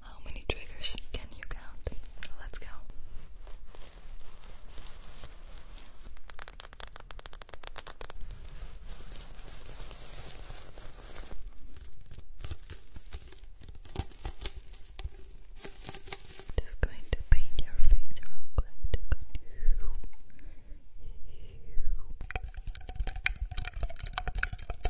How many triggers can you count? Let's go. Just going to paint your face real quick.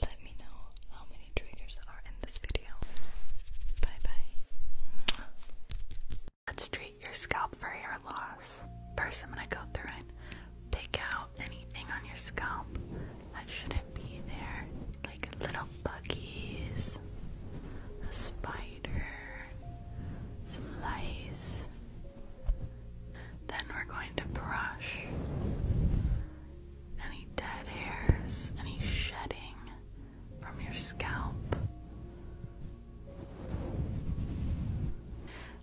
Let me know how many triggers are in this video. Let's treat your scalp for hair loss. First, I'm gonna go through and pick out anything on your scalp that shouldn't be there, like little buggies, a spider, some lice. Then we're going to brush any dead hairs, any shedding, from your scalp.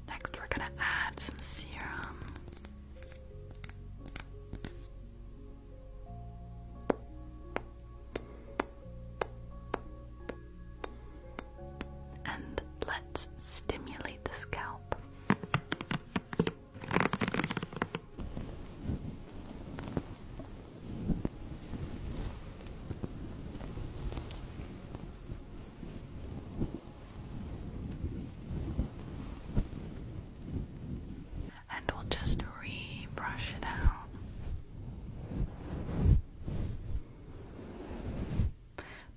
Next, we're going to add some serum. And let's stimulate the scalp. And we'll just re it out.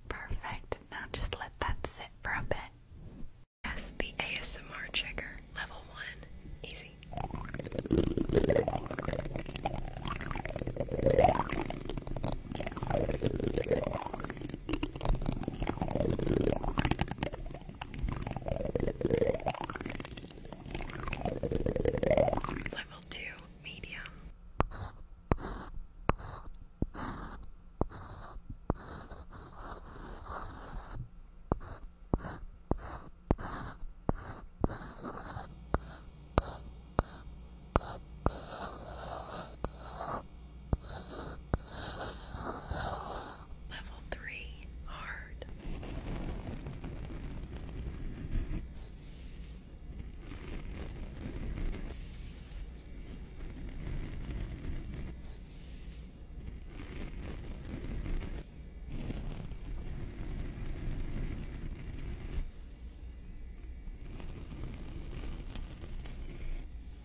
Perfect. Now just let that sit for a bit. Yes, the ASMR trigger, level 1, easy crazy. Level two, medium. Level three, hard.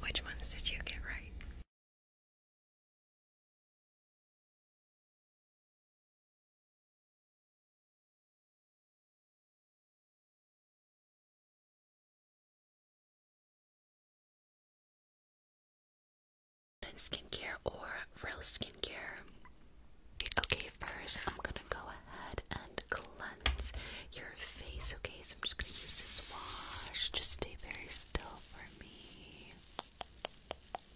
Which ones did you get right? skincare or real skincare. Okay, first I'm gonna go ahead and cleanse your face. Okay, so I'm just gonna use this wash. Just stay very still for me.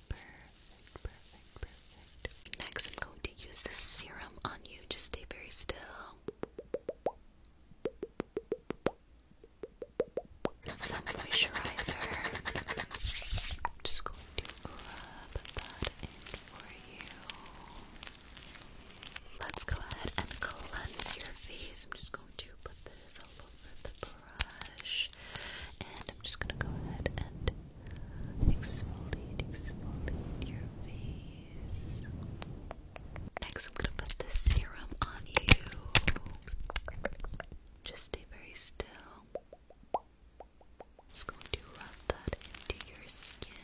Perfect, perfect, perfect. Next, I'm going to use the serum on you. Just stay very still. Some moisturizer. I'm just going to rub that for you. Let's go ahead and cleanse your face. I'm just going to put this all over the brush. And I'm just going to go ahead and exfoliate, exfoliate your face. Next, I'm going to put this serum on you. Just stay very still. It's going to rub that into your skin.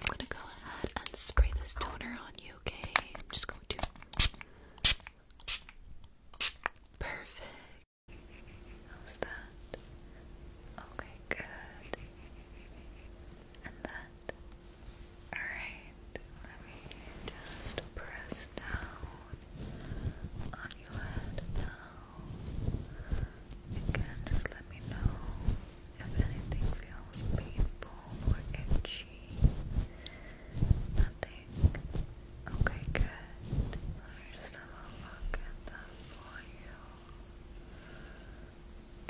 I'm gonna go ahead and spray this toner on you, okay? I'm just going to. Perfect. How's that? Okay, good. And that. Alright, let me just press down on your head now. Again, just let me know if anything feels painful or itchy. Nothing. Okay, good. Let me just have a look at that for you.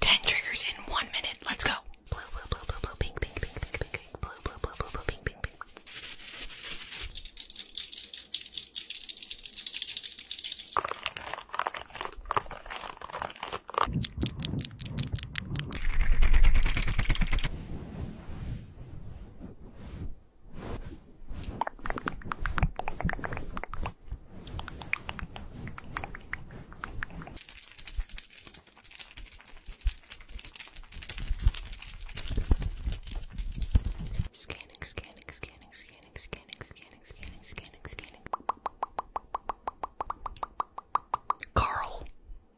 Ten triggers in one minute. Let's go. Blue, blue, blue, blue, blue, pink, pink, pink, pink, pink, blue, blue, blue, blue, blue, pink, pink, pink. Scanning, scanning, scanning, scanning, scanning, scanning, scanning, scanning, scanning. Carl.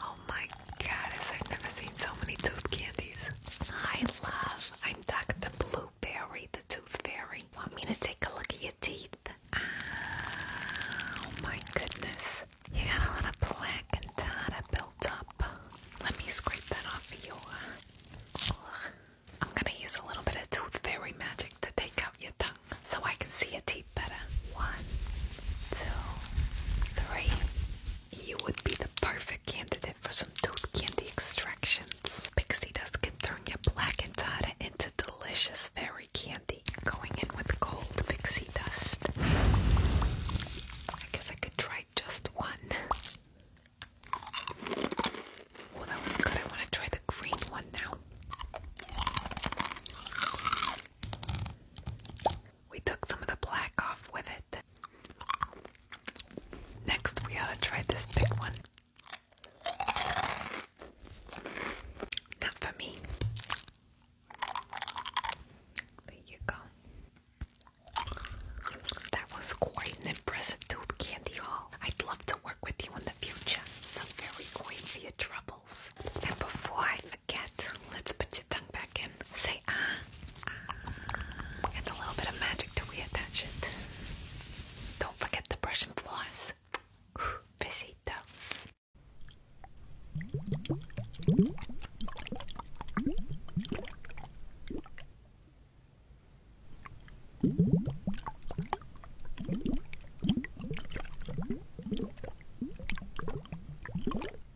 Oh my goddess, I've never seen so many tooth candies. I love, I'm Dr. Blueberry, the tooth fairy. Want me to take a look at your teeth? Oh my goodness. You got a lot of plaque and tartar built up. Let me scrape that off for you. I'm gonna use a little bit of tooth fairy magic to take out your tongue so I can see your teeth better. One, two, three, you would be the perfect candidate for some tooth candy extractions. Pixie Dust can turn your black entada into delicious fairy candy. Going in with cold pixie dust. I guess I could try just one. Well, that was good. I want to try the green one now. We took some of the black off with it. Next, we ought to try this big one. Not for me. There you go. That was quite an impressive tooth candy haul. I'd love to work with you in the future. Some very quaint troubles. And before I forget, let's put Put Say ah. ah. a little bit of magic to reattach it. Don't forget to brush and floss. Besitos.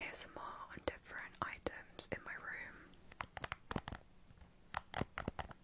Here's some more on different items in my room.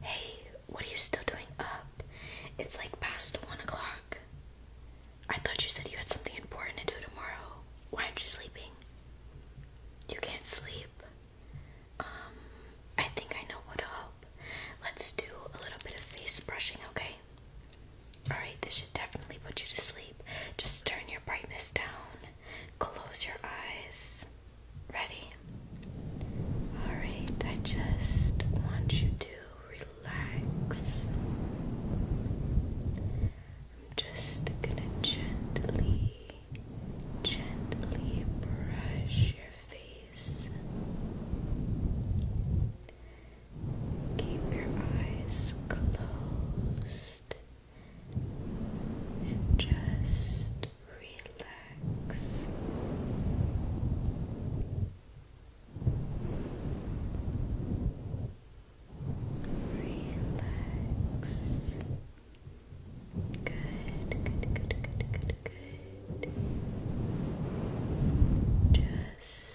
Hey, what are you still doing up? It's like past one o'clock. I thought you said you had something important to do tomorrow. Why aren't you sleeping? You can't sleep. Um, I think I know what to Let's do a little bit of face brushing, okay? Alright, this should definitely put you to sleep. Just turn your brightness down. Close your eyes. Ready? Alright, I just want you to relax. I'm just gonna gently, gently brush your face. Keep your eyes closed and just relax. Relax. Good, good, good, good, good, good. Just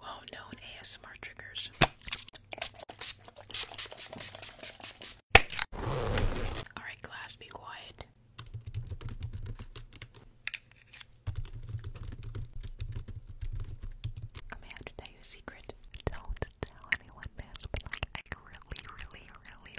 Well known ASMR triggers. Alright, class, be quiet. I may tell you a secret. Don't tell anyone this, but like, I really, really, really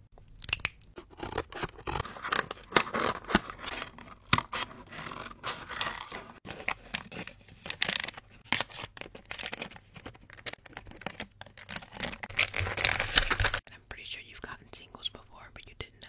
And I'm pretty sure you've gotten singles before, but you didn't know.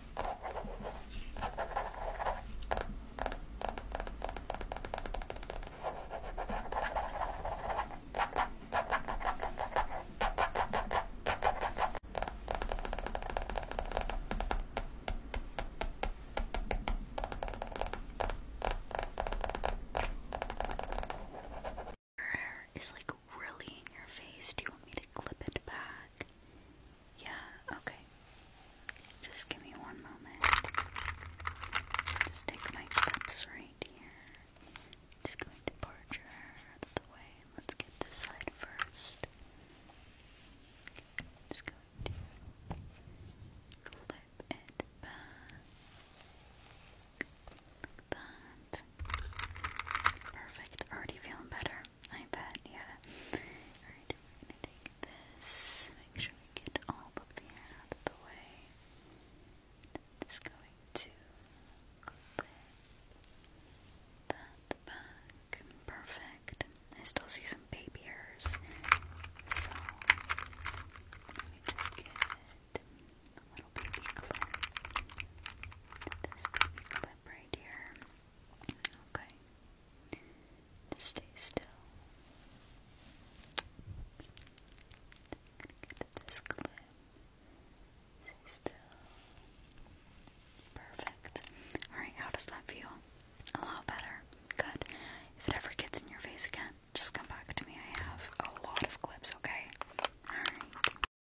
Her hair is like really in your face. Do you want me to clip it back? Yeah, okay. Just give me one moment. Just take my clips right here. Just going to part your hair out the way. Let's get this side first. Just going to clip it back. that. Perfect. Already feeling better. I yeah. Alright, we're gonna take this, make sure we get all of the hair out of the way. just going to clip that back. Perfect. I still see some baby So let me just get a little baby clip. This baby clip right here. Okay. stay still. Stay still. Perfect. Alright, how does that feel? A lot better. Good. If it ever gets in your face again, just come back to me. I have a lot of clips, okay? Alright.